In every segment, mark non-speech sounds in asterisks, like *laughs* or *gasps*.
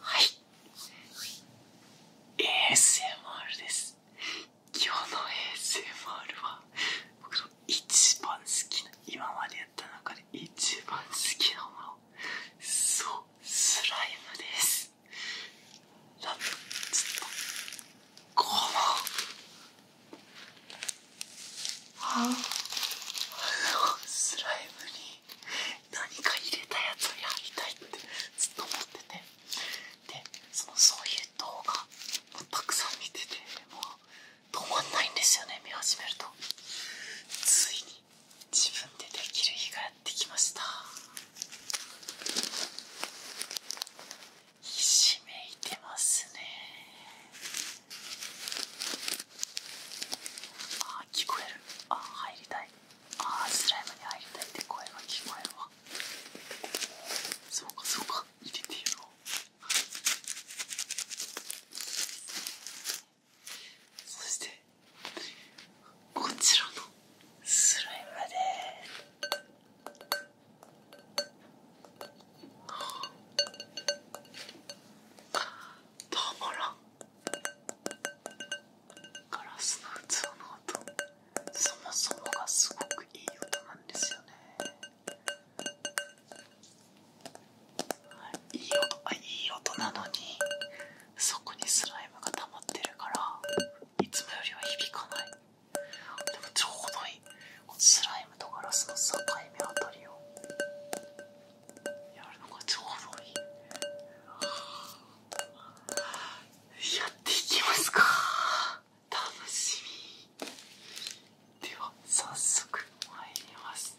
はい ASMR です今日の ASMR は僕の一番好きな今までやった中で一番好きなものそうスライムですなんとちょっとこのあのスライムに何か入れたやつをやりたいってずっと思っててでそのそういう動画をたくさん見ててもう止まんないんですよね見始めるとついに自分でできる日がやってきましたひしめいてますねああ、聞こえるああ、入りたいああ、スライムに入りたいって声が聞こえるわそうかそうか入れてやそしてこちらのスライムでたまらん。ガラスの器の音そもそもがすごくいい音なんですよねいい音あいい音なのにそこにスライムがたまってるからいつもよりは響かないでもちょうどいいスライムとガラスの境目あたりをやるのがちょうどいいやっていきますか楽しみでは早速参ります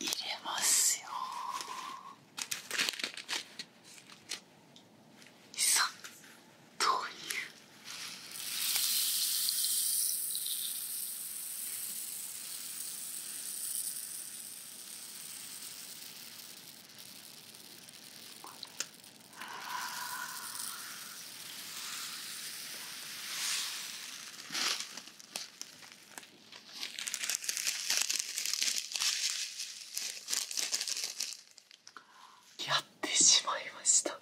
入れますよさっというこれやってしまいましたも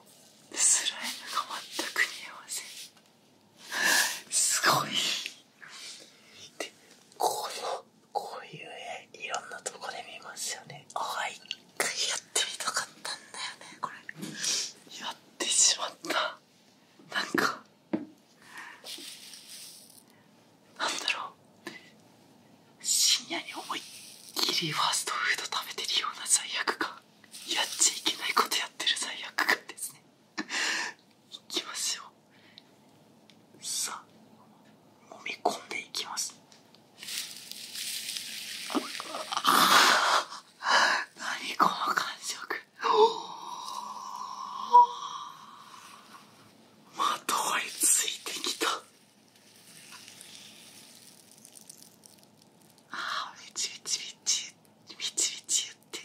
うスライムが全く見えませすごいこういう絵いろんなとこで見ますよねああ一回やってみたかったんだよねこれやってしまったなんかなんだろう深夜に思いっきりファーストフード食べてるような罪悪感やっちゃいけないことやってる罪悪感ですねいきますよさあ揉み込んでいきます *laughs* 何この感触 *gasps* まとわりついてきたああめちびチ、びちびちびチ言ってる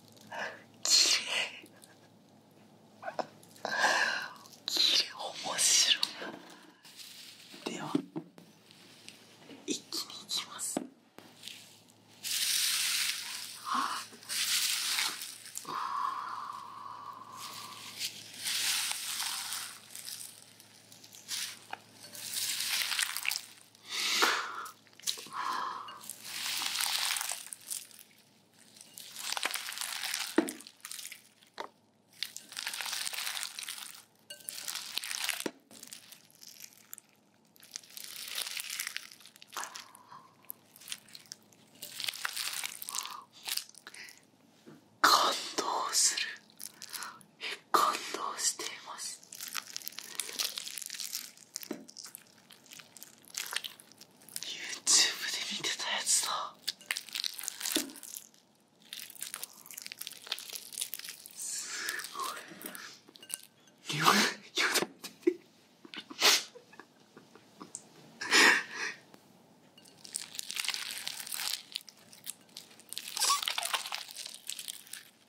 きれいきれい面白いでは一気にいきますはあ感動する感動していますユーチューブで見てたやつだすごいよだ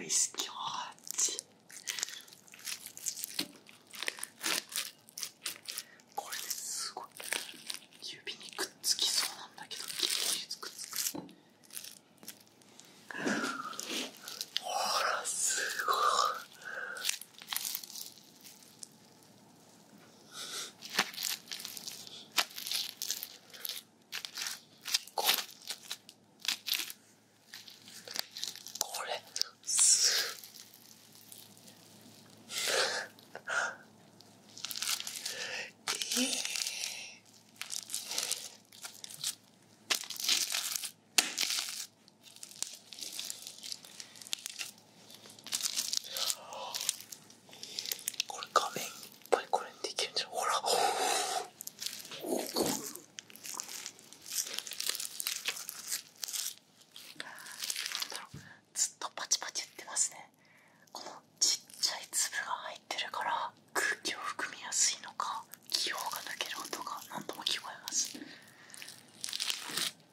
Nice God これですごい指にくっつきそうなんだけどギリギリくっつくほらすごいここれすええ。これ画面いっぱいこれにできるんじゃんほらずっとパチパチ言ってますねこのちっちゃい粒が入っ空気を含みやすいのか気泡が抜ける音が何度も聞こえます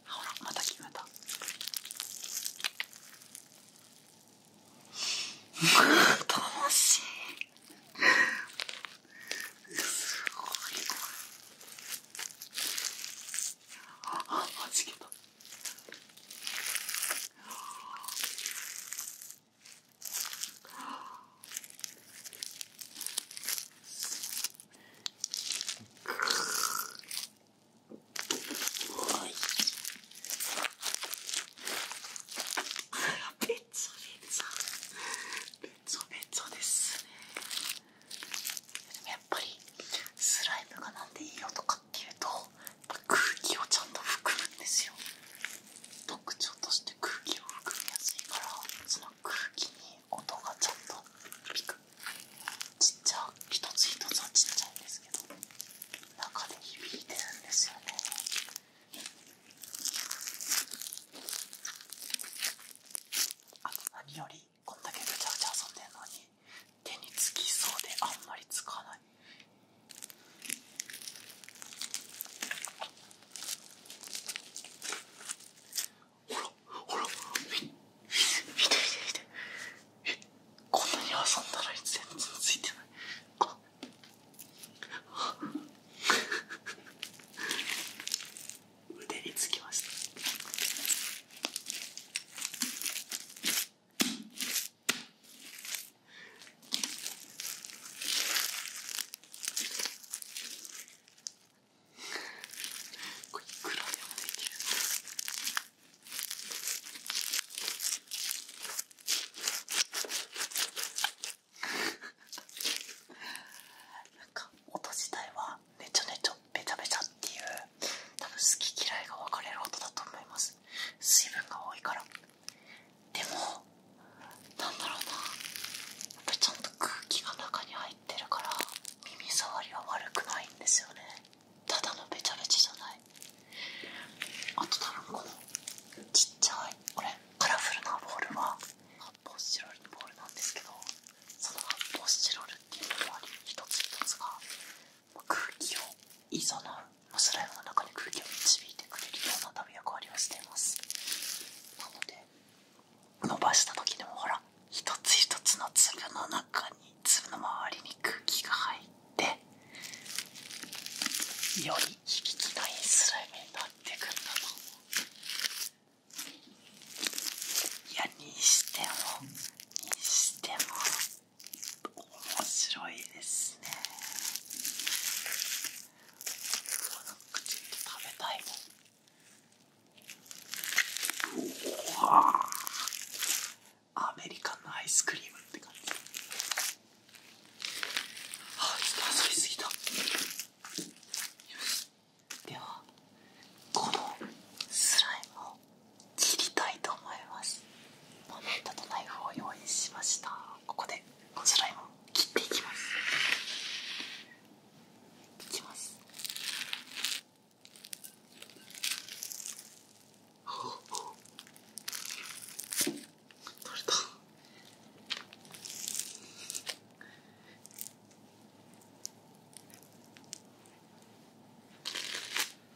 ほらまた聞こえた *laughs* 楽しいすごいああ、はじけたべちめべちょべちょべちょですねでもやっぱりスライムがなんでいいよとかっていうと空気をちゃんと含むんですよ特徴として空気を含みやすいからその空気に音がちゃんとピクちっちゃ一つ一つはちっちゃいんですけど中で響いてるんですよねあと何よりこんだけぐちゃぐちゃ遊んでるのに手につきそうであんまりつかないいほらほらひひでひでひでえこんなに遊んだら全然ついてないあっ腕につきましたこれいくらでか音自体はねちょねちょべちゃべちゃっていう多分好き嫌いが分かれる音だと思います水分が多いからでもなんだろうなちゃんと空気が中に入ってるから耳障りは悪くないんですよねただのべちゃべちゃじゃないあと多分このちっちゃいこれカラフルなボールは発泡スチロールのボールなんですけどその発泡スチロールっていうのも一つ一つが空気をいいそのスライムの中に空気を導いてくれるような旅べ役割をしていますなので伸ばした時でもほら一つ一つの粒の中に粒の周りに空気が入ってより響きのいいスライムになってくんだと思ういやにしてもにしても。面白いですね口に食べたいもんうわアメリカンのアイスクリームって感じあちょっと遊びすぎたよしではこのスライムを切りたいと思いますモメントとナイフを用意しましたここでこちらも切っていきますいきますほう取れたよ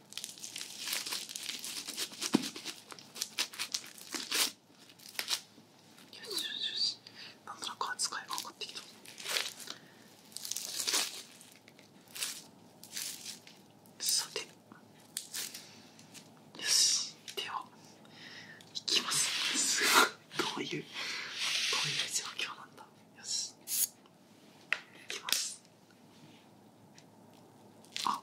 しよしよしなんとなく扱いが分かってきたさてよしではいきますどういうどういう状況なんだよしいきますああ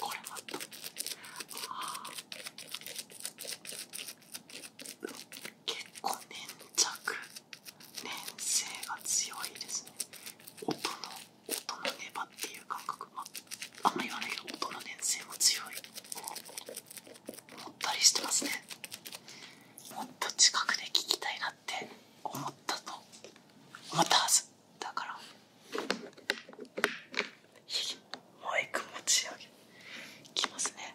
これまた。ああ結構粘着粘性が強いですね音の音のネバっていう感覚まあんま言わないけど音の粘性も強い思ったりしてますねもっと近くで聞きたいなって思ったと思ったはずだからひもう一個持ち上げきますね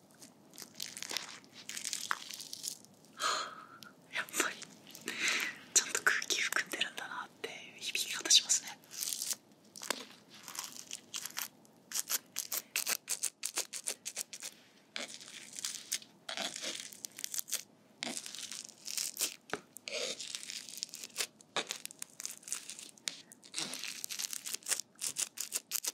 あ *laughs* やっぱりちゃんと空気含んでるんだなっていう響き方しますねうん。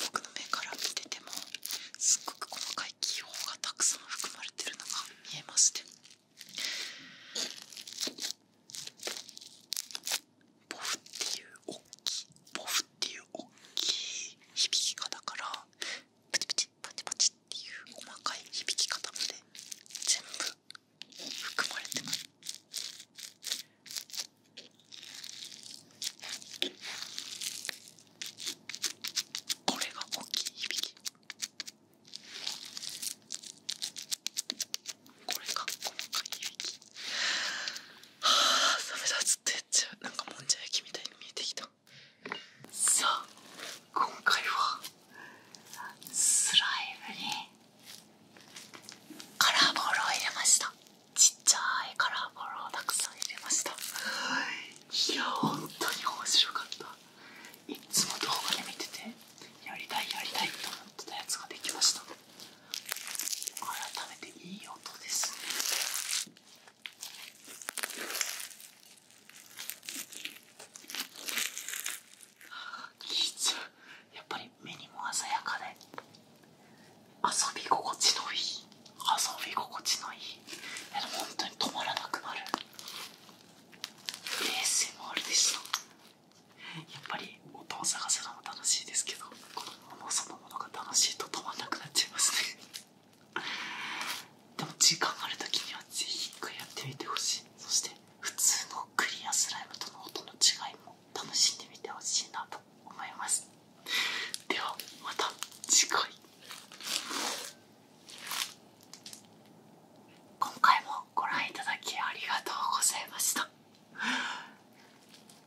僕の目から見ててもすっごく細かい気泡がたくさん含まれてるのが見えましてボフっていうおっきいボフっていうおっきい響き方からプチプチパチパチっていう細かい響き方まで全部含まれてますこれが大きい響きこれが細かい響きはあサメだずっとやっちゃうなんかもんじゃ焼きみたいに見えてきたさあ今回はスライムにカラーボールを入れましたちっちゃいカラーボールをたくさん入れましたいや本当に面白かったいつも動画で見ててやりたいやりたいと思ってたやつができました改めていい音ですねき技術やっぱり目にも鮮やかで遊び心地のいい遊び心地のいいでも本当に止まらなくなる ASMR でしたやっぱり音を探すのも楽しいですけどこのものそのものが楽しいと止まらなくなっちゃいますねでも時間ある時にはぜひ一回やってみてほしいそして普通のクリアスライムとの音の違いも楽しんでみてほしいなと思いますではまた次回今回もご覧いただきありがとうございました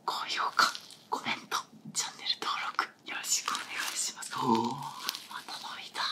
高評価コメントチャンネル登録よろしくお願いしますおおまた伸びた